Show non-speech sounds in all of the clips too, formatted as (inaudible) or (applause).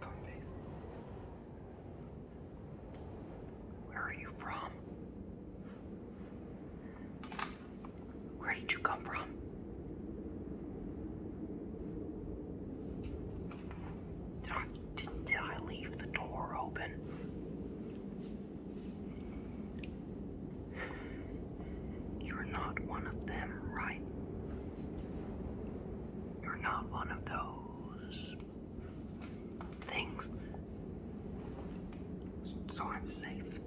Coinbase. Where are you from? Where did you come from? Did I did, did I leave the door open? You're not one of them, right? You're not one of those things. So I'm safe.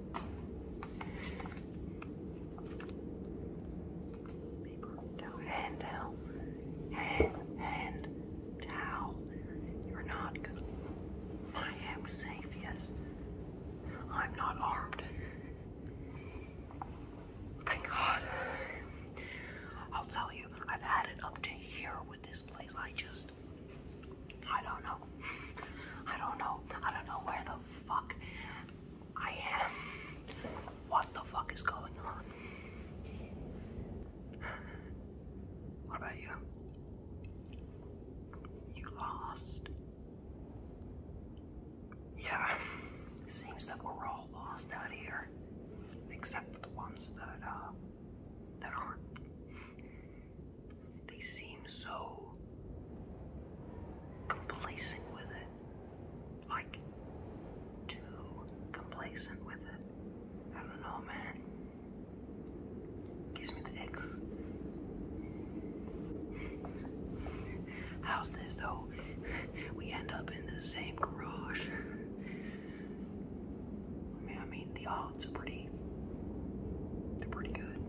Paper towel. Hand towel. hand towel. You're not gonna I am safe, yes. I'm not armed. Thank God. I'll tell you, I've had it up to here with this place. I just, I don't know. I don't know. I don't know where the fuck I am. What the fuck is going on? What about you? You lost. Yeah, seems that we're all lost out here, except for the ones that uh that aren't. They seem so complacent with it, like too complacent with it. I don't know, man. Gives me the X. How's this though? We end up in the same garage. I mean, the odds are pretty. They're pretty good.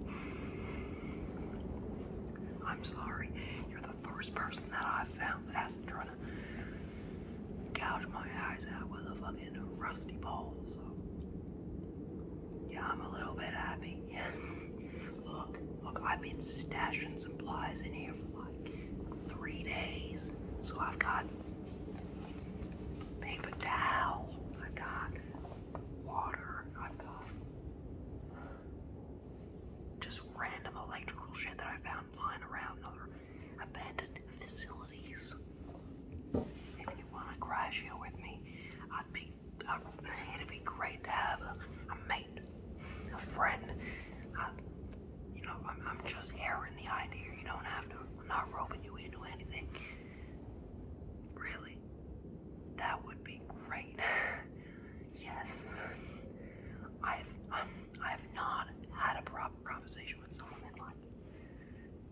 I'm sorry. You're the first person that I've found that has to try to gouge my eyes out with a fucking rusty pole. Yeah, I'm a little bit happy. Yeah. (laughs) Look, look, I've been stashing supplies in here for like three days. So I've got paper towel, I've got water, I've got just random electrical shit that I found lying around another abandoned facility possibilities. If you want to graduate with me, I'd be. it'd be great to have a, mate, a friend. you know, I'm, just airing the idea. You don't have to. I'm not roping you into anything. Really, that would be great. (sighs) yes, I've um, I've not had a proper conversation with someone in like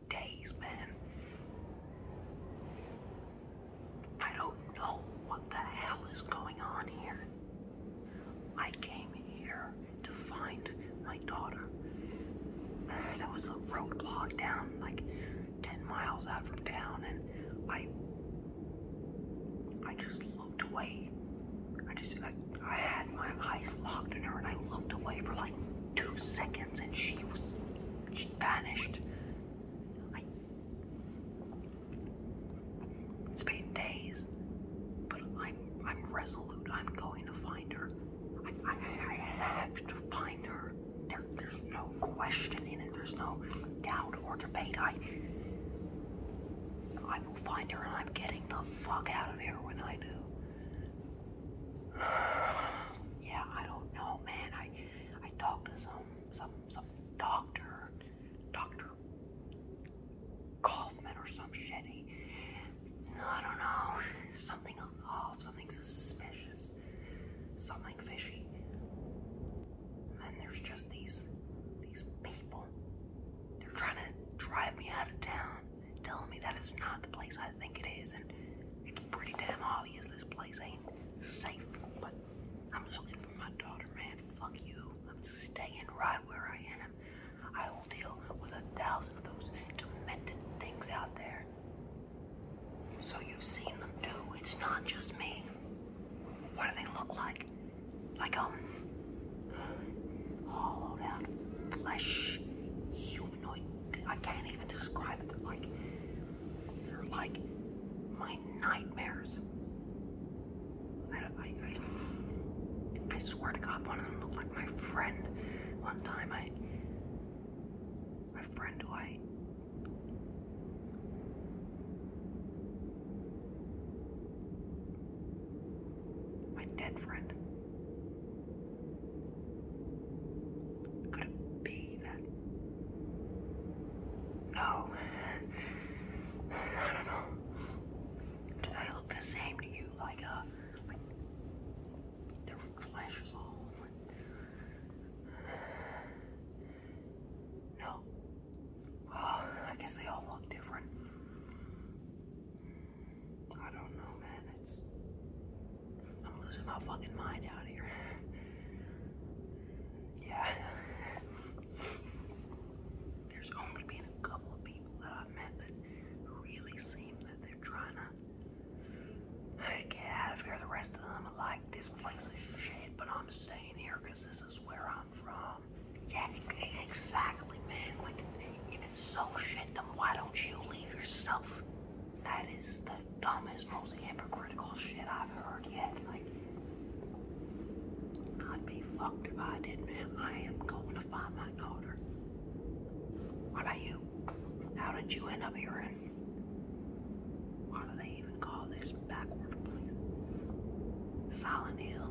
days, man. I don't know what the hell is going on here. I came here to find my daughter. (sighs) There was a roadblock down like 10 miles out from town and I I just looked away. I just I, I had my eyes locked on her and I looked away for like 2 seconds and she was she vanished. I, it's been days, but I'm I'm resolute. I'm going to find her. I, I, I have to find her. there's no question in it. There's no doubt or debate. I I will find her, and I'm getting the fuck out of here when I do. (sighs) yeah, I don't know, man. I I talked to some some some doctor, Doctor Kaufman or some shit. He, I don't know, something off, something suspicious, something fishy. And there's just these these people. They're trying to drive me out of town telling me that it's not the place I think it is, and it's pretty damn obvious this place ain't safe. But I'm looking for my daughter, man. Fuck you. I'm staying right where I am. I will deal with a thousand of those demented things out there. So you've seen them too. It's not just me. What do they look like? Like um, hollowed out flesh, human I can't even describe it. like, they're like my nightmares. I swear to God, one of them looked like my friend. One time, I, my friend who I my dead friend could it be that? No. I don't know. Do they look the same to you? Like, uh, their flesh is all. No. Well, I guess they all look different. I don't know, man. It's I'm losing my fucking mind out here. Yeah. There's only been a couple of people that I've met that really seem that they're trying to get out of here. The rest of them are like, this place is shit, but I'm staying here because this is where I'm from. Yeah, exactly, man. Like, if it's so shit, then why don't you leave yourself? That is the dumbest, most hypocritical shit I've heard yet. Like, I'd be fucked if I did, man. I am going to find my daughter. What about you? How did you end up here in? Why do they even call this backward place? Silent Hill.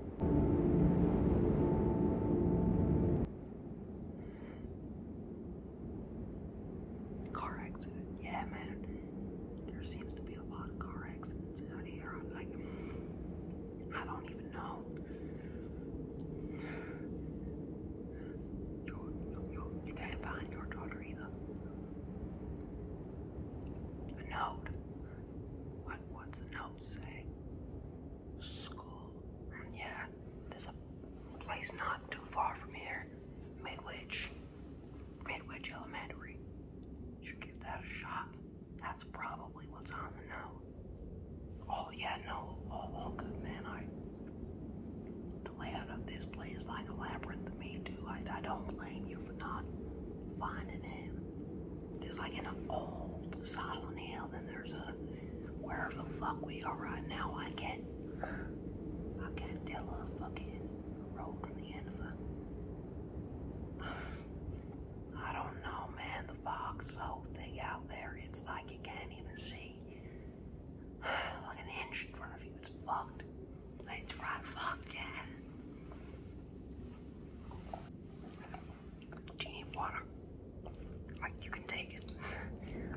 Car accident. Yeah, man. There seems to be a lot of car accidents out here. i like, I don't even know. You, you, you can't find your daughter either. A note. What? What's the note say? School. Yeah. There's a place not too far from here, Midwich, Midwich Elementary. should give that a shot. That's probably what's on the note. Oh yeah, no, all, oh, oh, good, man. I the layout of this place is like a labyrinth to me too. I, I don't blame you for not finding him. There's like an old silent hill, then there's a where the fuck we are right now. I can't, I can't tell a fucking road from the end of it. (sighs) I don't know, man. The fox whole thing out there, it's like you can't even see (sighs) like an inch in front of you. It's fucked. It's right fucked, yeah. Do you need water? Like you can take.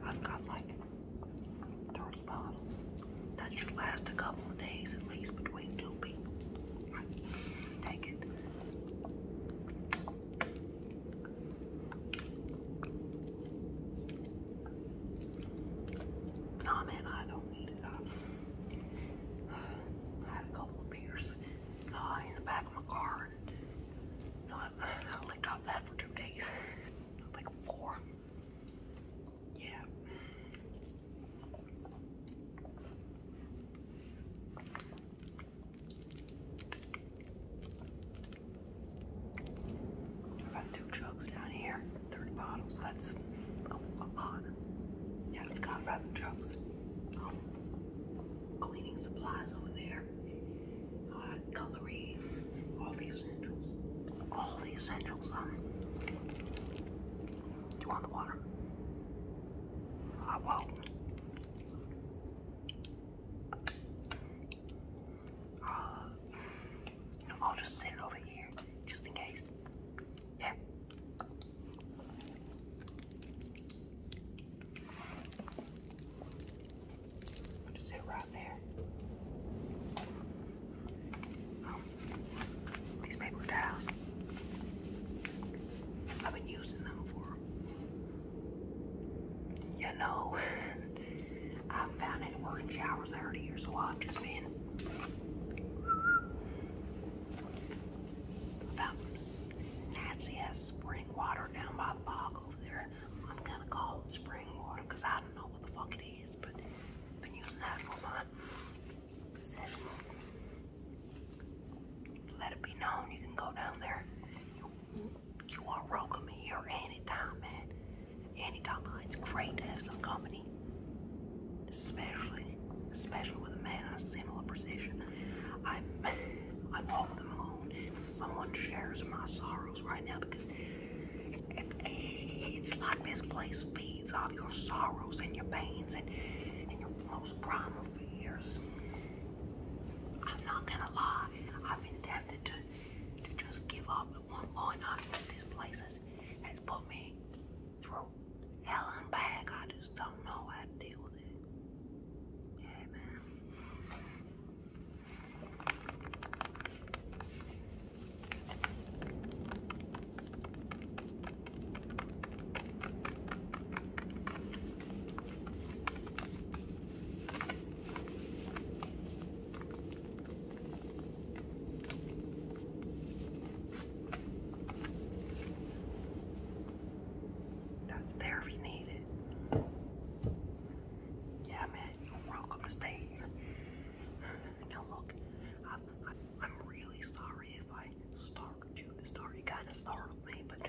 I've got like 30 bottles. That should last a couple of days at least between two people. Take it. Nah, man, I don't need it. I, had a couple beers uh, in the back of my car. And, uh, I licked off that for two days like four. Yeah. i got two jugs down here, 30 bottles, that's a, lot. Yeah, I've got rather jugs. Um, cleaning supplies over there uh, all the essentials. All the essentials. do you want the water? I ah, will. Uh, I'll just sit it over here, just in case. Yeah i just sit right there. Oh, these paper towels. I've been using them for, you know, (laughs) I found it working showers earlier, so I've just been. found some nasty ass spring water down by the bog over there. I'm gonna call it spring water because I i Let it be known you can go down there. You, are welcome here anytime, man. Anytime. It's great to have some company. Especially, especially with a man of similar precision. I'm, (laughs) I'm over the moon. if Someone shares my sorrows right now because it's like this place feeds off your sorrows and your pains and, your most primal fears. I'm not gonna lie, I've been tempted to, to just give up at one point. I know this place has, has put me through hell and back. I just don't know how to deal with it. Yeah, man. That's there if you need it. Yeah, man you're welcome to stay here. Now look, I'm, really sorry if I start you. The story kind of startled me, but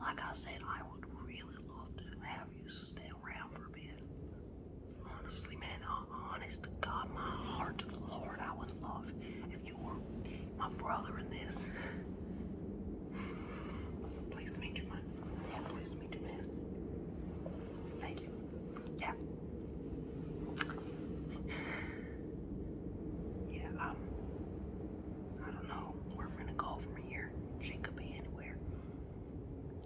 like I said, I would really love to have you stay around for a bit. Honestly, man, uh, honest to God, my heart to the Lord, I would love if you were my brother in this. Pleased to meet you, yeah, pleased meet you, man. Thank you. Yeah. Yeah, um, I don't know where we're gonna go from here. She could be anywhere.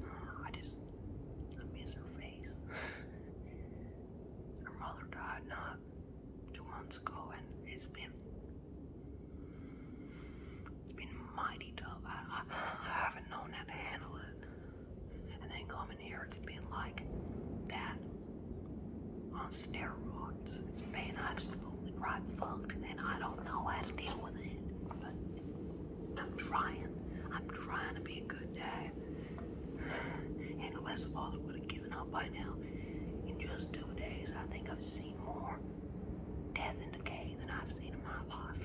Uh, I just, miss her face. her mother died not two months ago, and it's been it's been mighty tough. I, I, haven't known how to handle it. And then coming here, it's been like that on steroids. It's been absolutely right fucked, and I don't know how to deal with it. But I'm trying. I'm trying to be a good dad. And unless the father would have given up by now, in just two days, I think I've seen more death in decay than I've seen in my life.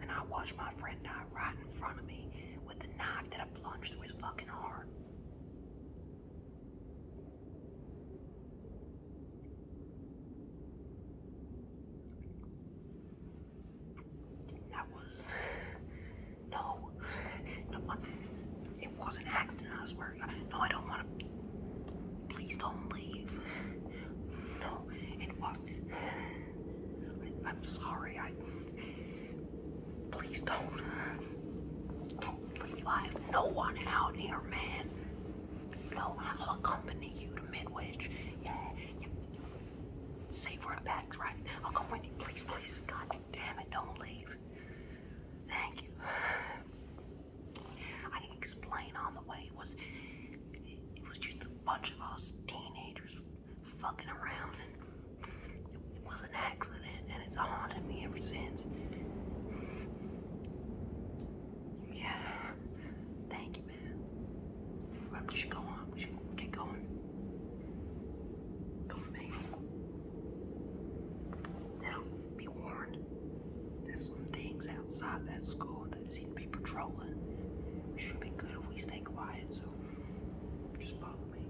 And I watched my friend die right in front of me with the knife that I plunged through his fucking heart. That was (sighs) no, no, it was an accident. I swear. No, I don't want to. Please don't leave. No, it wasn't. I, am sorry. I. Please don't. Don't leave. I no one out here, man. No, I'll accompany you to Midwich. Yeah, Safe word bags, right? I'll come with you. Please, please. God damn it, don't leave. Thank you. I can explain on the way. It was. It was just bunch of us teenagers fucking around, and it was an accident, and it's haunted me ever since. Yeah. Thank you, man. we should go on. We should get going. Go to me. Now, be warned. There's some things outside that school dude seem to be patrolling. We should be good if we stay quiet, so just follow me.